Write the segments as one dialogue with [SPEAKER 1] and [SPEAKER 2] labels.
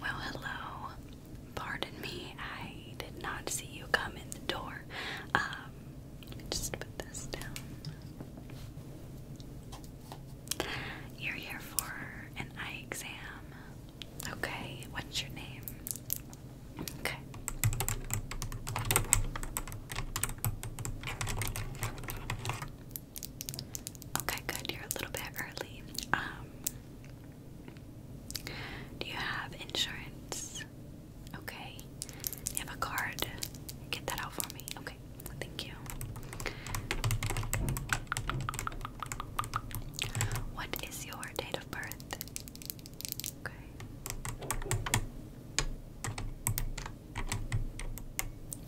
[SPEAKER 1] Well, hello. Pardon me, I did not see you come in the door. Um, let me just put this down. You're here for an eye exam. Okay, what's your name? Okay. Okay, good. You're a little bit early. Um, do you have insurance? Okay. You have a card. Get that out for me. Okay thank you. What is your date of birth? Okay.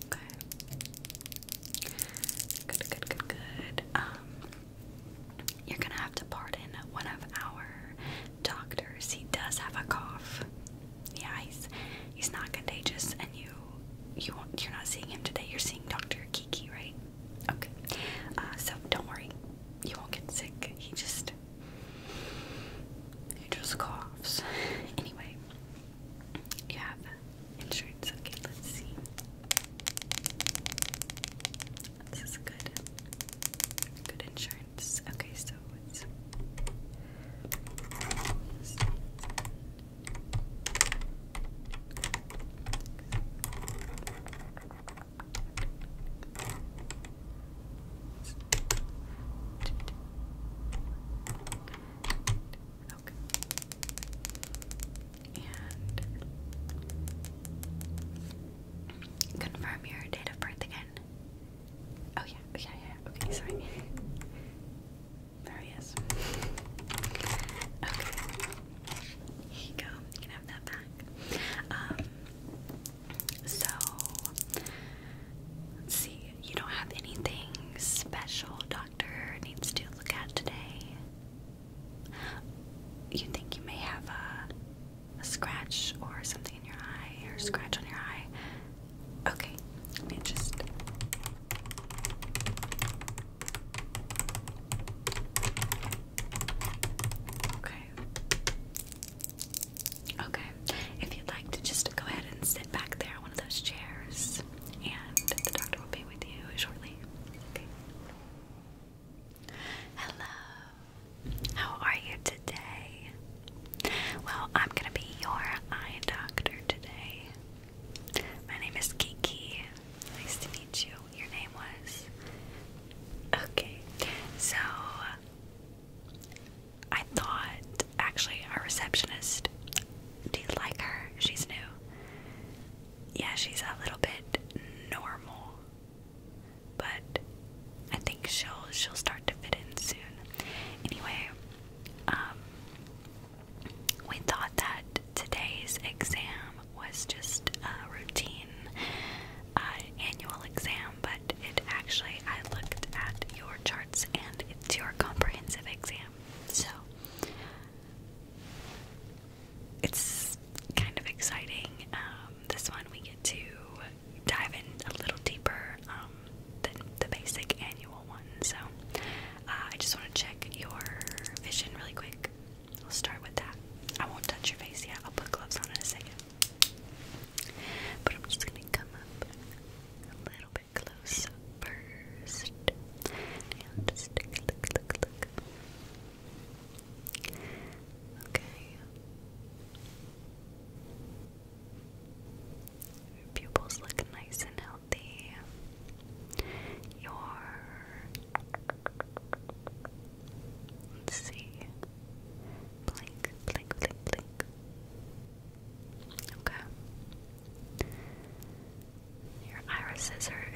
[SPEAKER 1] Okay. Good, good, good, good. Um you're gonna have to pardon one of our doctors. He does have a cough yeah, he's he's not contagious, and you you you're not seeing him today. You're seeing Doctor Kiki, right? Okay. Uh, so don't worry, you won't get sick. He just he just coughs. anyway, you have insurance. Okay, let's see. This is good. Good insurance. Okay, so confirm your date of birth again. Oh yeah, yeah, yeah. Okay, sorry. There he is. Okay. Here you go. You can have that back. Um, so, let's see. You don't have anything special doctor needs to look at today? You think you may have a, a scratch or something in your eye or scratch on your eye? Okay, let me just. Okay. Okay. If you'd like to just go ahead and sit back there one of those chairs, and the doctor will be with you shortly. Hello. How are you today? Well, I'm gonna be your eye doctor today. My name is Kiki. Nice to meet you. Your name was? Okay, so I thought, actually, our receptionist, do you like her? She's new. Yeah, she's a little bit normal, but I think she'll she'll start to fit in soon. Anyway, um, we thought that today's exam was just a routine uh, annual exam, but it actually, I looked at your charts and it's your comprehensive exam. So it's kind of exciting. Um, this one we get to dive in a little deeper. Um, the, the basic annual one. So uh, I just want to check your vision really quick. We'll start with that. I won't touch your face yet. I'll put gloves on in a second. But I'm just going to come a little bit close first. And just take a look, look, look. Okay. pupils look nice and healthy healthy. Your let's see. Blink, blink, blink, blink. Okay. Your irises are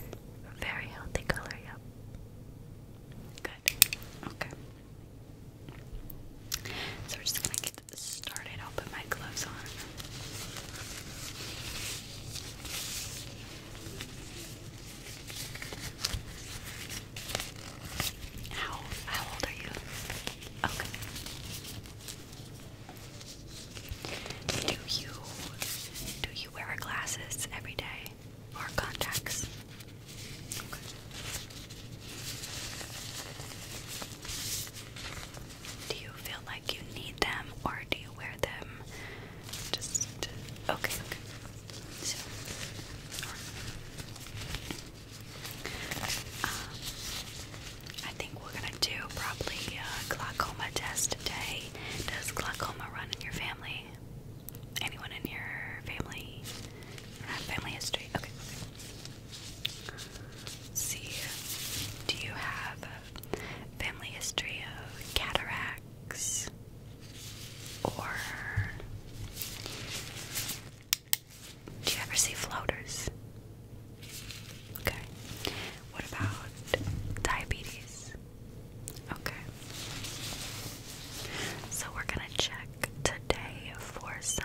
[SPEAKER 1] a very healthy color, yep. Good. Okay. So we're just gonna started. I'll put my gloves on. How how old are you? Okay. Do you do you wear glasses every day or contacts? Do you feel like you need them or do you wear them just okay? So, um, I think we're gonna do probably glaucoma test today. Does glaucoma run in your family? Anyone in your family? Or family history? okay. See, do you have family history of cataracts or do you ever see floaters? Okay. What about diabetes? Okay. So we're going to check today for some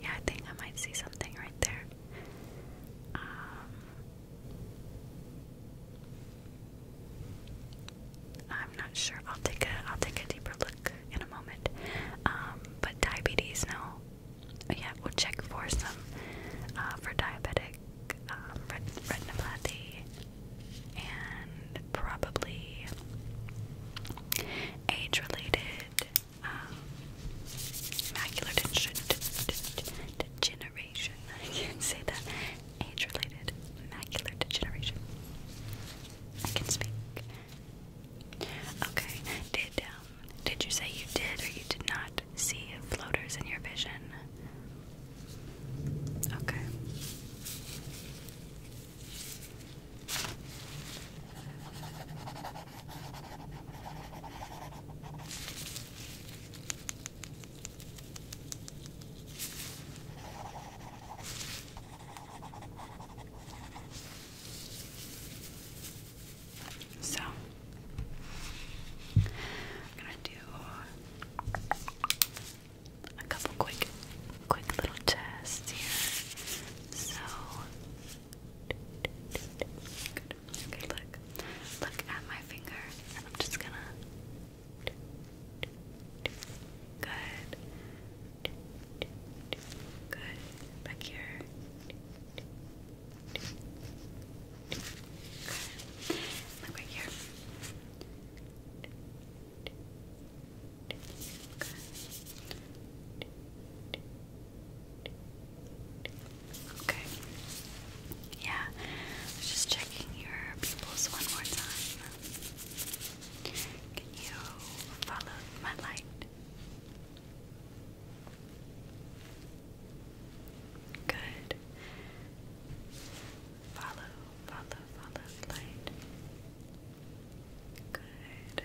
[SPEAKER 1] Yeah, I think I might see something right there. Um, I'm not sure. I'll take a I'll take a deeper look in a moment. Um, but diabetes, no. Oh, yeah, we'll check for some uh, for diabetic um, retinopathy and probably age-related macular degeneration. I can say that. Age-related macular degeneration. I can speak. Okay. Did um, did you say you did or you did not see floaters in your vision? Okay. So I'm gonna do a couple quick, quick little tests here. So. Okay, look. Look at my finger, and I'm just gonna. Good. Good. Back here. Good. Look right here. Good. Okay. Yeah. just checking your pupils one more time. Can you follow my light? Good. Follow, follow, follow light. Good.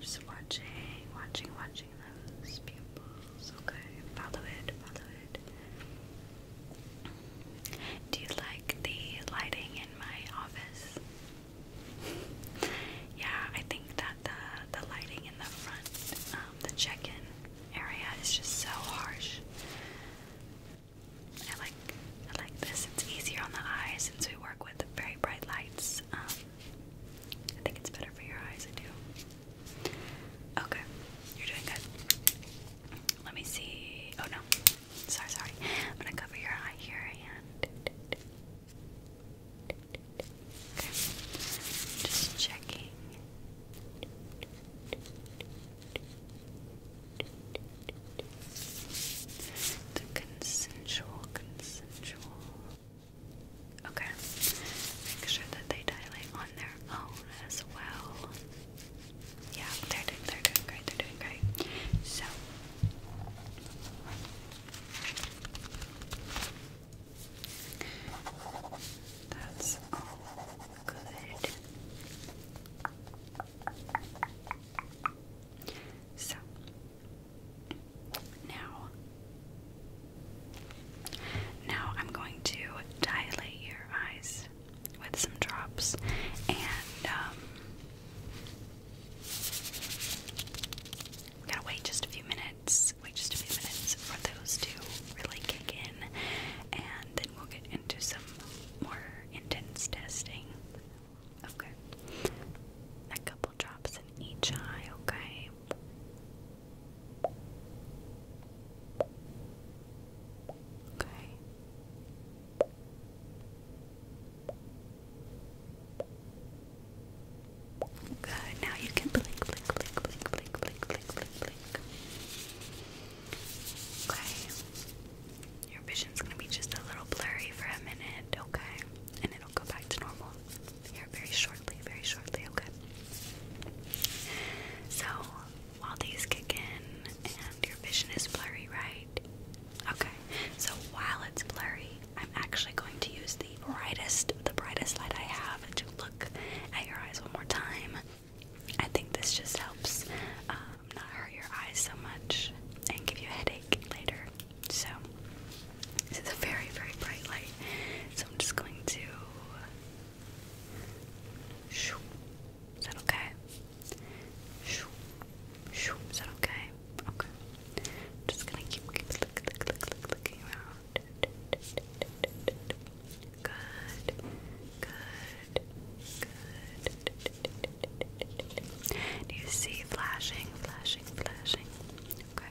[SPEAKER 1] Just watching, watching, watching those pupils. Okay, follow it, follow it. Do you like the lighting in my office? yeah, I think that the the lighting in the front, um, the check-in area, is just so harsh. I like I like this. It's easier on the eyes since we work with very bright lights, um, I think it's better for your eyes, I do. Okay, you're doing good. Let me see. Oh no, sorry, sorry. I'm gonna cover your eye here and. just checking. The consensual, consensual. Okay. Make sure that they dilate on their own as well. Yeah, they're doing, they're doing great, they're doing great. So. That's all good. So, now, now I'm going to dilate your eyes with some drops and um, gotta wait just a few minutes, wait just a few minutes for those to really kick in, and then we'll get into some more intense testing. Okay. A couple drops in each eye, okay? Okay. Good. Now you can blink, blink, blink, blink, blink, blink, blink, blink. Okay. Your vision's gonna be just a little blurry for a minute, okay? And it'll go back to normal here very shortly, very shortly, okay? So, while these kick in and your vision is blurry, right? Okay, so while it's blurry, I'm actually going to use the brightest, the brightest light I have to look at your eyes one more time. I think this just helps um, not hurt your eyes so much and give you a headache later. So, this is a very, very bright light. So I'm just going to. Is that okay? Is that okay? Okay. just gonna keep looking around. Good. Good. Good. Do you see flashing, flashing, flashing? Okay.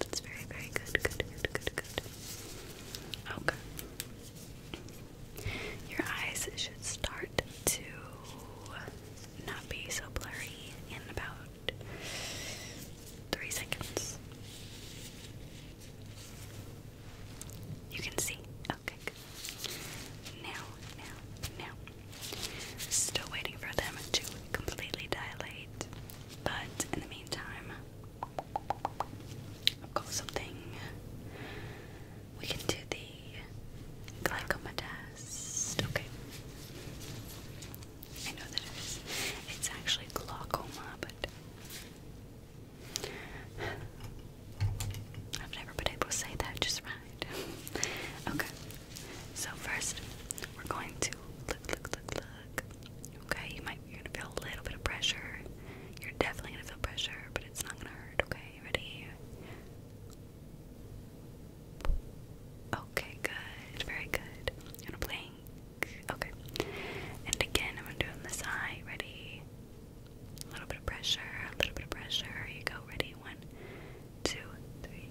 [SPEAKER 1] It's very, very good. Good, good, good, good. Okay. Your eyes should start to not be so blurry in about three seconds. You can see. Okay. Good. Now, now, now. Still waiting for them to completely dilate. But in the meantime, I've got something. We can do the glycoma test. Okay. I know that it is. It's actually glaucoma, but I've never been able to say that just right. okay. So first, we're going to look, look, look, look. Okay, you might you're gonna feel a little bit of pressure. You're definitely gonna feel pressure, but it's not gonna hurt. Okay, ready? Okay, good, very good. gonna blink. Okay, and again, I'm gonna do this eye. Ready? A little bit of pressure, a little bit of pressure. you go. Ready? One, two, three.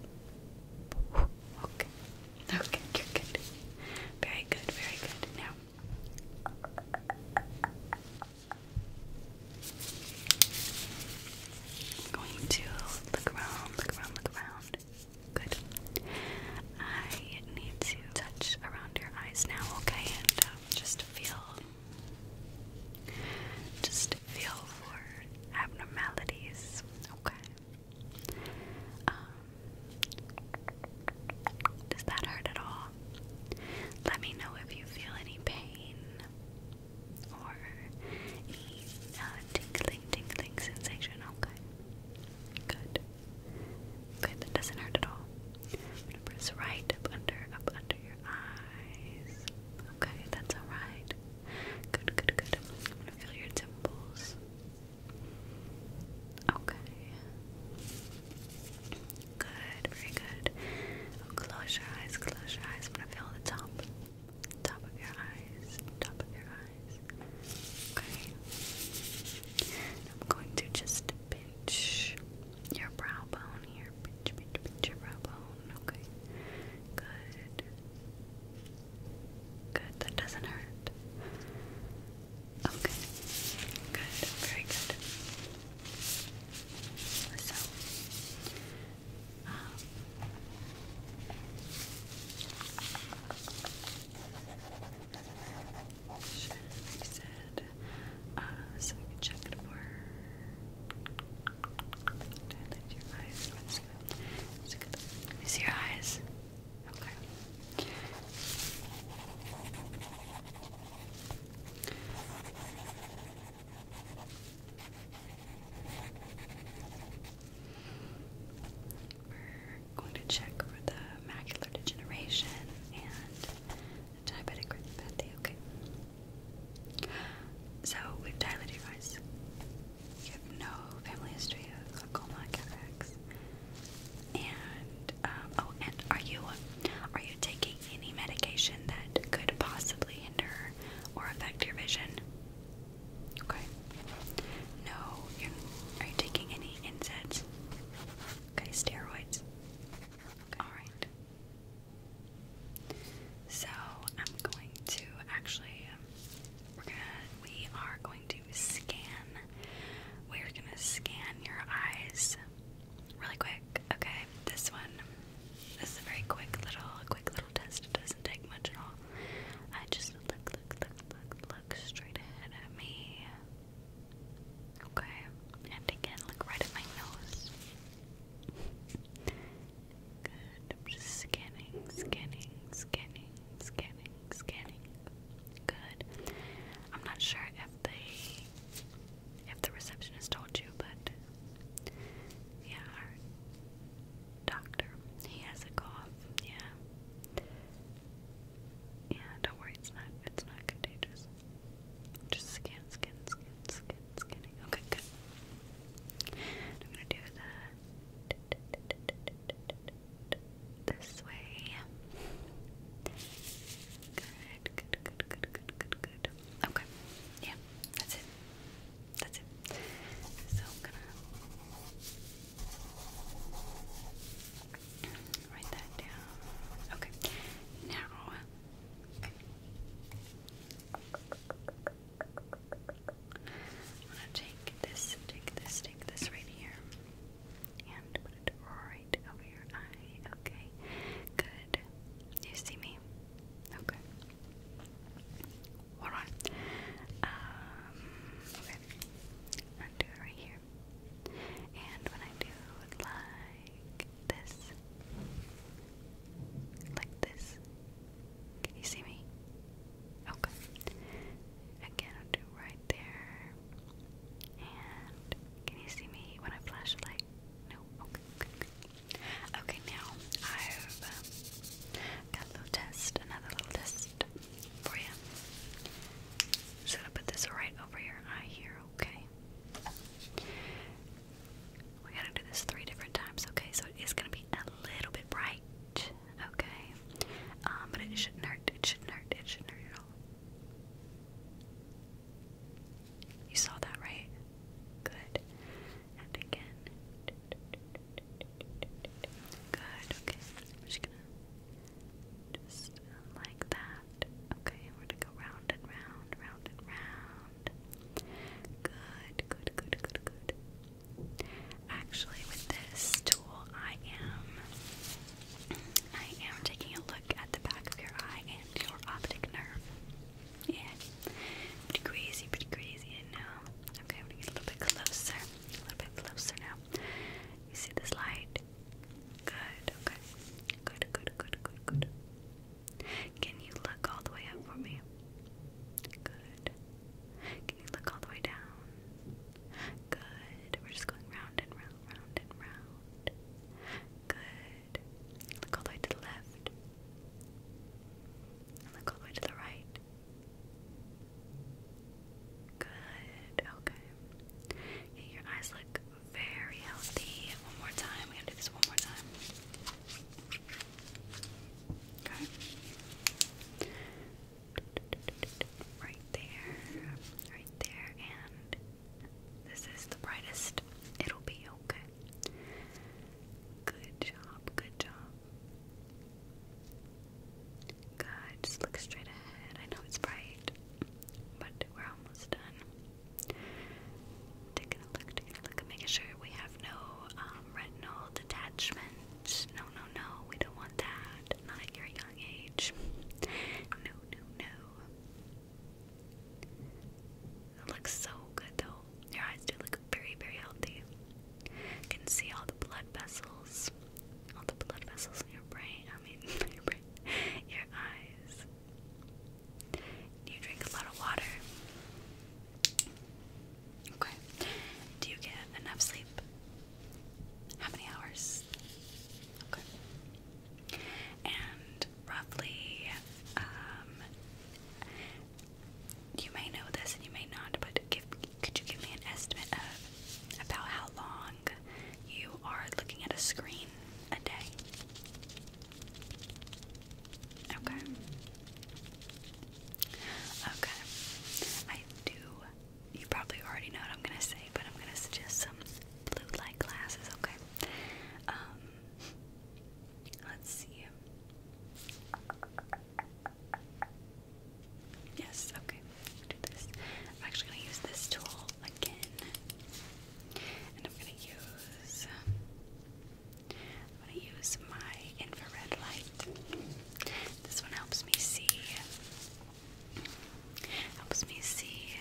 [SPEAKER 1] Okay, Okay, you're good. Very good, very good. Now, I'm going to look around, look around, look around. Good. I need to touch around your eyes now, okay? And um, just feel, just feel for abnormalities, okay? Um, does that hurt at all? Let me know if you feel any pain or any uh, tingling, tingling sensation. Okay. Good. Good. That doesn't hurt at all. I'm gonna press right up under, up under your eyes. Okay, that's alright. Good, good, good. I'm gonna feel your temples. Okay. Good, very good. Oh, close your eyes, close your eyes. I'm gonna feel the top. Top of your eyes. Top of your eyes. Okay. I'm going to just pinch your brow bone here. Pinch, pinch, pinch your brow bone. Okay. Good. Good, that doesn't hurt. Okay, good, very good. So, um, sure, uh, we check it for. Dilate your eyes. Let's go. Let's go. Let your eyes. Okay. We're going to check for the macular degeneration and diabetic retinopathy. Okay. So we've dilated your eyes you have no family history of glaucoma, cataracts, and um, oh, and are you are you taking any medication that could possibly hinder or affect your vision? Okay. No. are you taking any NSAIDs? Okay, steroids. All right. So I'm going to actually um, we're gonna we are going to scan. We're gonna scan your eyes really quick. Okay, this one. This is a very quick little quick little test. It doesn't take much at all. I just look look look look look straight ahead at me. Okay. And again look right at my nose. Good. I'm just scanning, scanning, scanning. Scanning, scanning. Good. I'm not sure if they if the receptionist told you, but yeah, doctor. He has a cough. Yeah. Yeah, don't worry, it's not it's not contagious. Just scan, skin, skin, skin, skinning. Okay, good. I'm gonna do the this way. Good, good, good, good, good, good, Okay. Yeah, that's it. That's it. So I'm gonna write that down. Okay. Now I'm gonna take this, take this, take this right here, and put it right over your eye. Okay, good. You see me? Okay. Hold on. Um, okay. i do it right here, and when I do like this, like this, can you see me? Okay. Again, I'll do right there. And can you see me when I flash the Okay. Okay. now I've um, got a little test, another little test for you. So I put this right over your eye here. Okay. We gotta do this three different times. Okay. So it is gonna be a little bit it right, okay? Um, but it shouldn't hurt, it shouldn't hurt, it shouldn't hurt at all. You saw that, right? Good. And again. Good, okay. I'm just gonna just like that. Okay, we're gonna go round and round, round and round. Good, good, good, good, good. Actually, with this tool, I am I am taking a look at the back of your eye and your optic nerve. Yeah, pretty crazy, pretty crazy. And now, okay, I'm going a little bit closer, a little bit closer now. You see this light? Good. Okay. Good. Good. Good. Good. Good. Can you look all the way up for me? Good look all the way down? Good. We're just going round and round, round and round. Good. Look all the way to the left. And look all the way to the right. Good. Okay. your eyes look very healthy. One more time. We gotta do this one more time. Okay right there, right there, and this is the brightest. It'll be okay. Good job, good job. Good, just look straight ahead. I know it's bright, but we're almost done. Taking a look, taking a look, making sure we have no um, retinal detachment. No, no, no, we don't want that not, at your young age. No, no, no. It looks so good though. Your eyes do look very, very healthy. You can see all the blood vessels, all the blood vessels in your brain. I mean, your eyes. Do you drink a lot of water? Okay. Do you get enough sleep? How many hours? Okay. And roughly, um, you may know this and you may not, but could you give me an estimate of about how long you are looking at a screen a day? Okay. Okay. I do you probably already know what I'm gonna say, but I'm gonna suggest some blue light glasses, okay? Um, let's see. Yes, okay. Do this. I'm actually gonna use this tool again, and I'm gonna use. Um, I'm gonna use my infrared light. This one helps me see Helps me see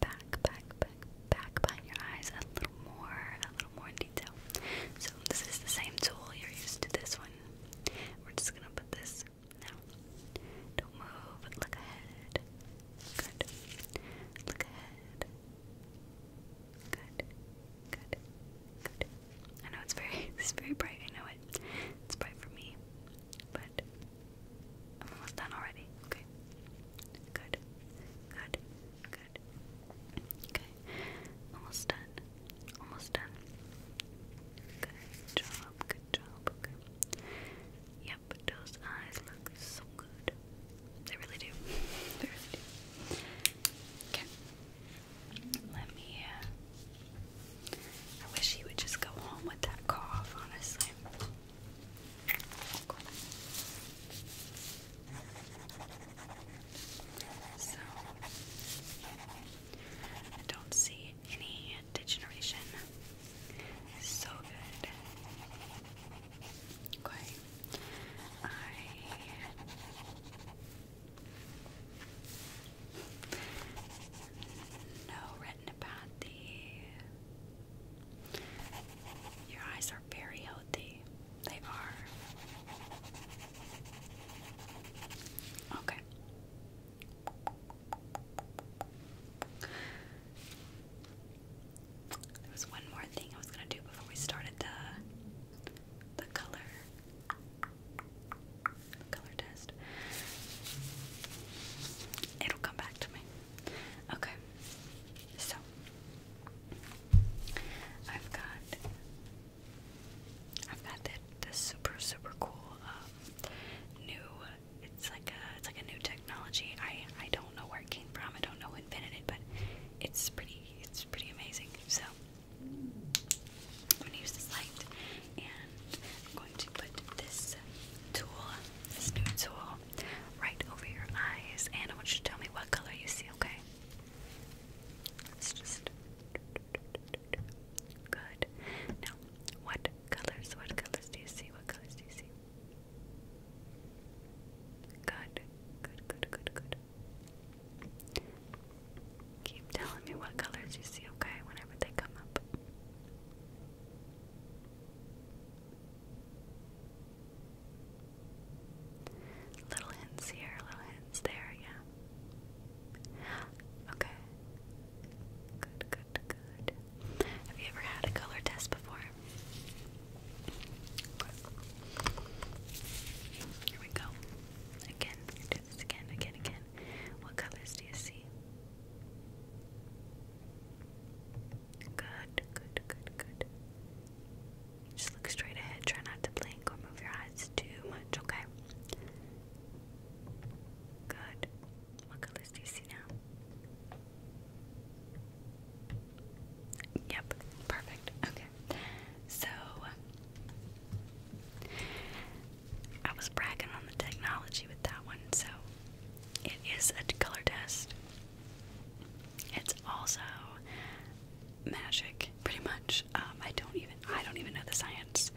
[SPEAKER 1] back, back, back, back behind your eyes a little more, a little more detail. So this is the same tool you're used to. This one, we're just gonna put this now. Don't move. Look ahead. Good. Look ahead. Good. Good. Good. I know it's very it's very bright. I know it. It's bright for me, but I'm almost done already. Okay. Good. Good. Good. Okay. Almost done. Almost done. Good job. Good job. Okay. Yep. Those eyes look so good. They really do. They Okay. Let me. Uh, I wish he would just go home with that cough, honestly. So, I don't see any degeneration. So good. Okay. No retinopathy. Your eyes are very healthy. They are. Okay. There was one more thing I was gonna do before we started the the color color test. It'll come back to me. Okay. So I've got I've got the, the super super cool um, new it's like a it's like a new technology. I I don't know where it came from. I don't know who invented it, but it's pretty it's pretty amazing. So I'm going to use this light and I'm going to put this tool, this new tool, right over your eyes. And I want you to tell me what color you see, okay? let just. Good. Now, what colors? What colors do you see? What colors do you see? Good. Good, good, good, good. Keep telling me what colors you see, okay, whenever they come up. Little hints here, little hints there, yeah. Okay. Good, good, good. Have you ever had a color test before? Here we go. Again, do this again, again, again. What colors do you see? Good, good, good, good. Just look straight ahead. Try not to blink or move your eyes too much, okay? Good. What colors do you see now? Yep, perfect. Okay. So I was bragging on the technology with that one, so it is a color test. It's also magic, pretty much. Um, I don't even I don't even know the science,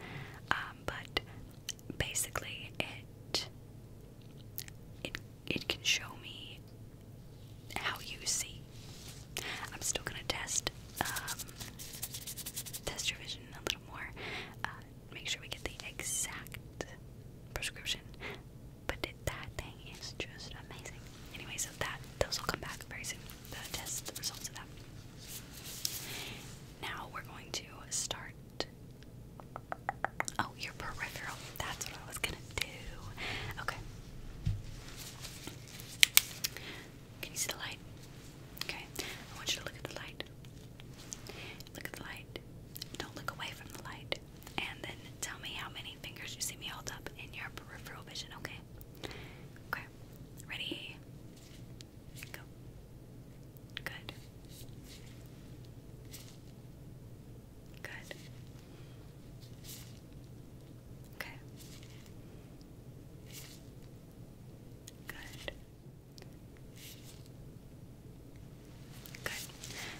[SPEAKER 1] um, but basically it it it can show me how you see. I'm still gonna test um, test your vision a little more. Uh, make sure we get the exact prescription. But that thing is just amazing. Anyway, so that those will come back very soon. The test results of that. Now we're going to start. Oh, your peripheral. That's what I was gonna do. Okay. Can you see the light? Okay. I want you to look at the light. Look at the light. Don't look away from the light. And then tell me how many fingers you see me hold up in your peripheral vision, okay? Okay. Ready? Go. Good. Good. Okay. Good. Good.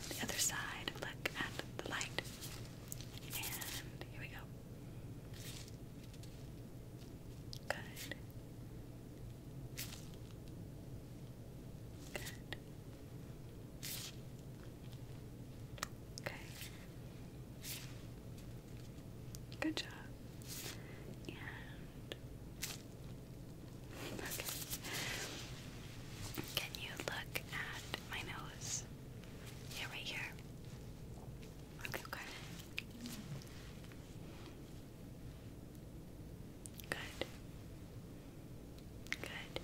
[SPEAKER 1] The other side, look at the light. And here we go. Good. Good. Okay. Good job. And Okay. Can you look at my nose? Yeah, right here. Okay, good. Good. Good.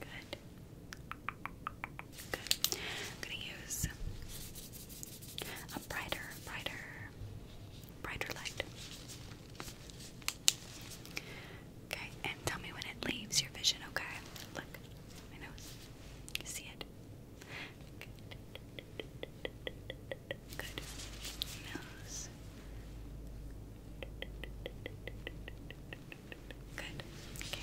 [SPEAKER 1] Good. I'm gonna use a brighter, brighter, brighter light. Okay, and tell me when it leaves your vision, okay? Look, my nose. You see it? Good. Nose. Good. Okay.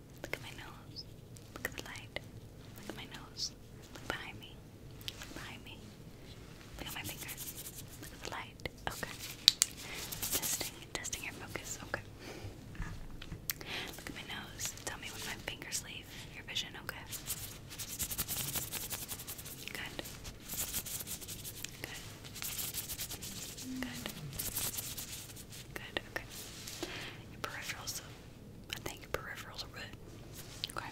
[SPEAKER 1] Look at my nose. Look at the light. Look at my nose. Look behind me. Look behind me. Look at my finger. Look at the light. Okay. Testing, testing your focus. Okay. Look at my nose. Tell me when my fingers leave your vision. Okay. Good. Good. Good. Good. Okay. Your peripherals I think peripherals are good. Okay.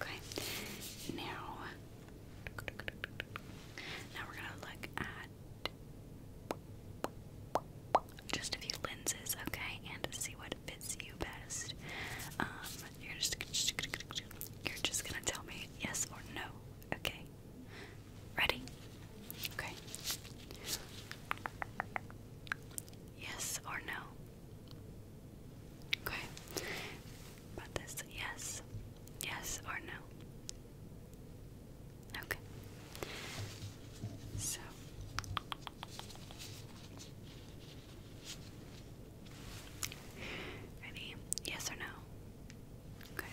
[SPEAKER 1] Okay. Now, now we're gonna look at just a few lenses, okay, and see what fits you best. Um, you're just you're just gonna tell me yes or no, okay? Ready? Okay. Yes or no? Okay. But this yes. Yes or no? Okay. So Ready? Yes or no? Okay.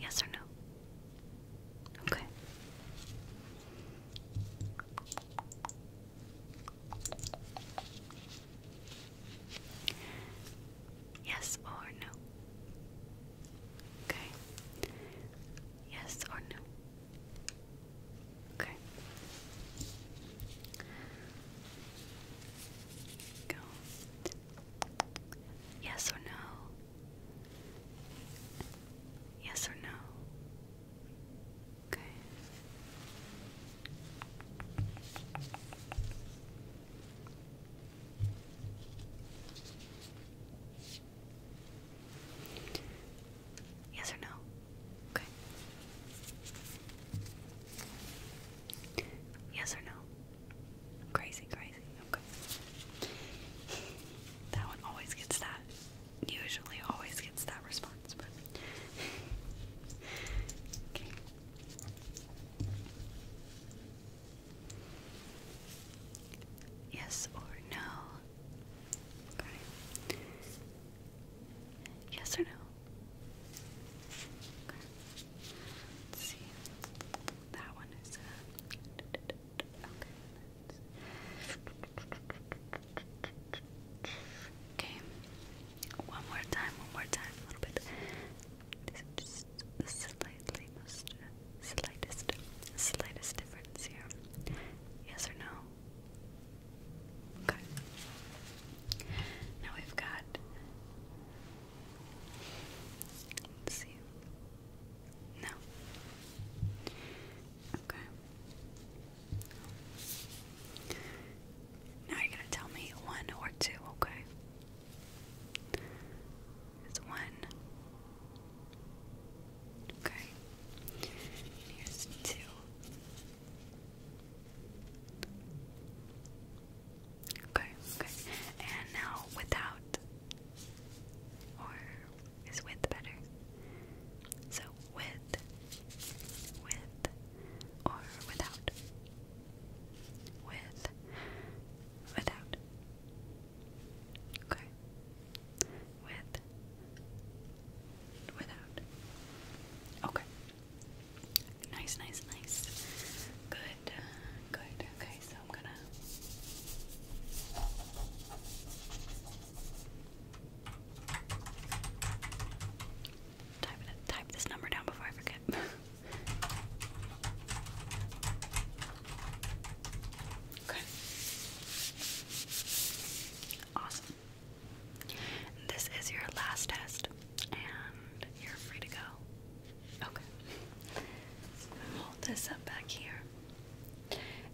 [SPEAKER 1] Yes or no? Okay. Yes or no? Okay. Yes or no? Okay. Go. Yes or no? Yes or no? Okay. Yes or no? Okay. Yes or no? Crazy, crazy. Okay. That one always gets that. Usually always gets that response, okay. Yes or no? Yes or no? Okay. That one is Okay, uh, Okay. One more time, one more time, a little bit. This is just the slightly Slightest. Slightest difference here. Yes or no? Okay. Now we've got. see. No. Okay. Now you're to tell me one or two, okay? It's one. Okay. Here's two. Okay, okay. And now without or is with better? So with, with, or without. With, without. Okay. With, without. Okay. Nice, nice, nice. Good, uh, good. Okay, I'm gonna type this number down before I forget. okay. Awesome. This is your last test, and you're free to go. Okay. Hold this up back here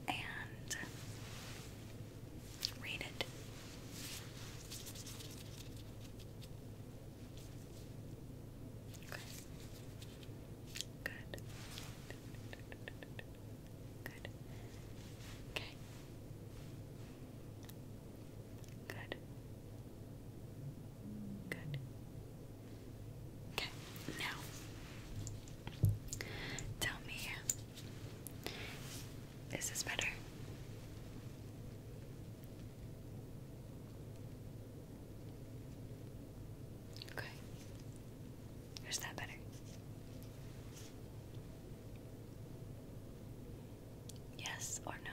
[SPEAKER 1] and read it. Okay. Good. Good. Okay. Good. Good. Okay, now tell me, is this better? Okay, is that better? Yes or no?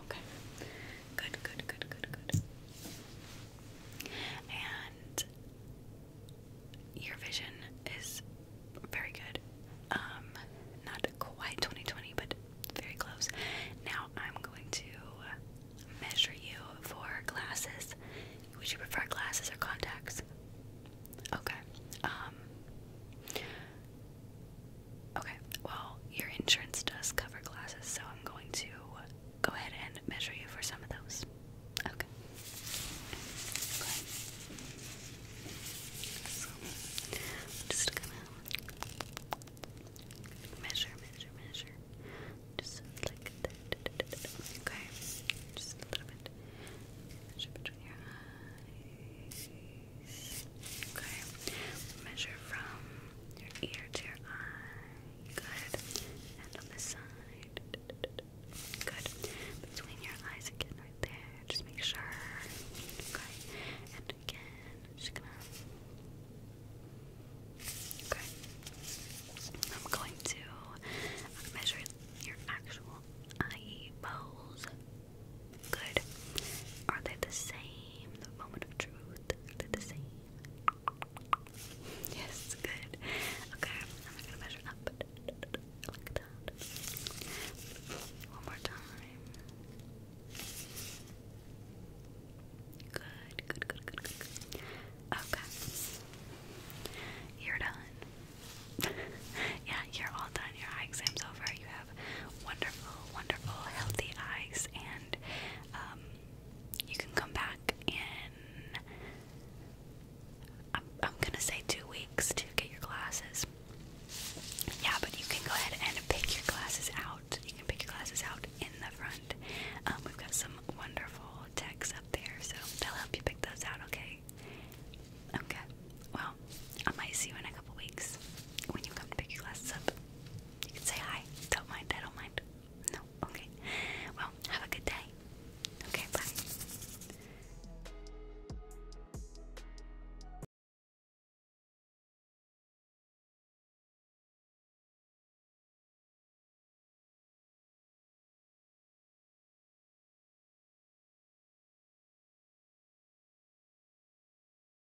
[SPEAKER 1] Okay. Good, good, good, good, good. And your vision is very good. Um, not quite 2020, but very close. Now I'm going to measure you for glasses. Would you prefer glasses or contacts? Okay. Um, Okay, well, your insurance does cover glasses, so I'm going to go ahead and measure you for some of those. Okay. Okay. So, I'm just gonna measure, measure, measure. Just like that. Okay. Just a little bit. Measure between your eyes. Okay. Measure from your ear to your eye. Good. And on this side. Good. Between your eyes again, right there. Just make sure. Okay. And again, just gonna. Okay. I'm going to measure your actual eye balls. Good. Are they the same? The moment of truth. Are they the same? Yes, good. Okay, I'm gonna measure up. Like that. One more time. Good, good, good, good, good, Okay. You're done. yeah, you're all done. Your eye exam's over. You have wonderful, wonderful, healthy eyes, um, you can come back in. I'm, gonna say two weeks to get your glasses. Yeah, but you can go ahead and pick your glasses out. You can pick your glasses out in the front. Um, we've got some wonderful texts up there, so they'll help you pick those out, okay? Okay. Well, I might see you in a couple weeks when you come to pick your glasses up. You can say hi. Don't mind. I don't mind. No. Okay. Well, have a good day. Okay, bye.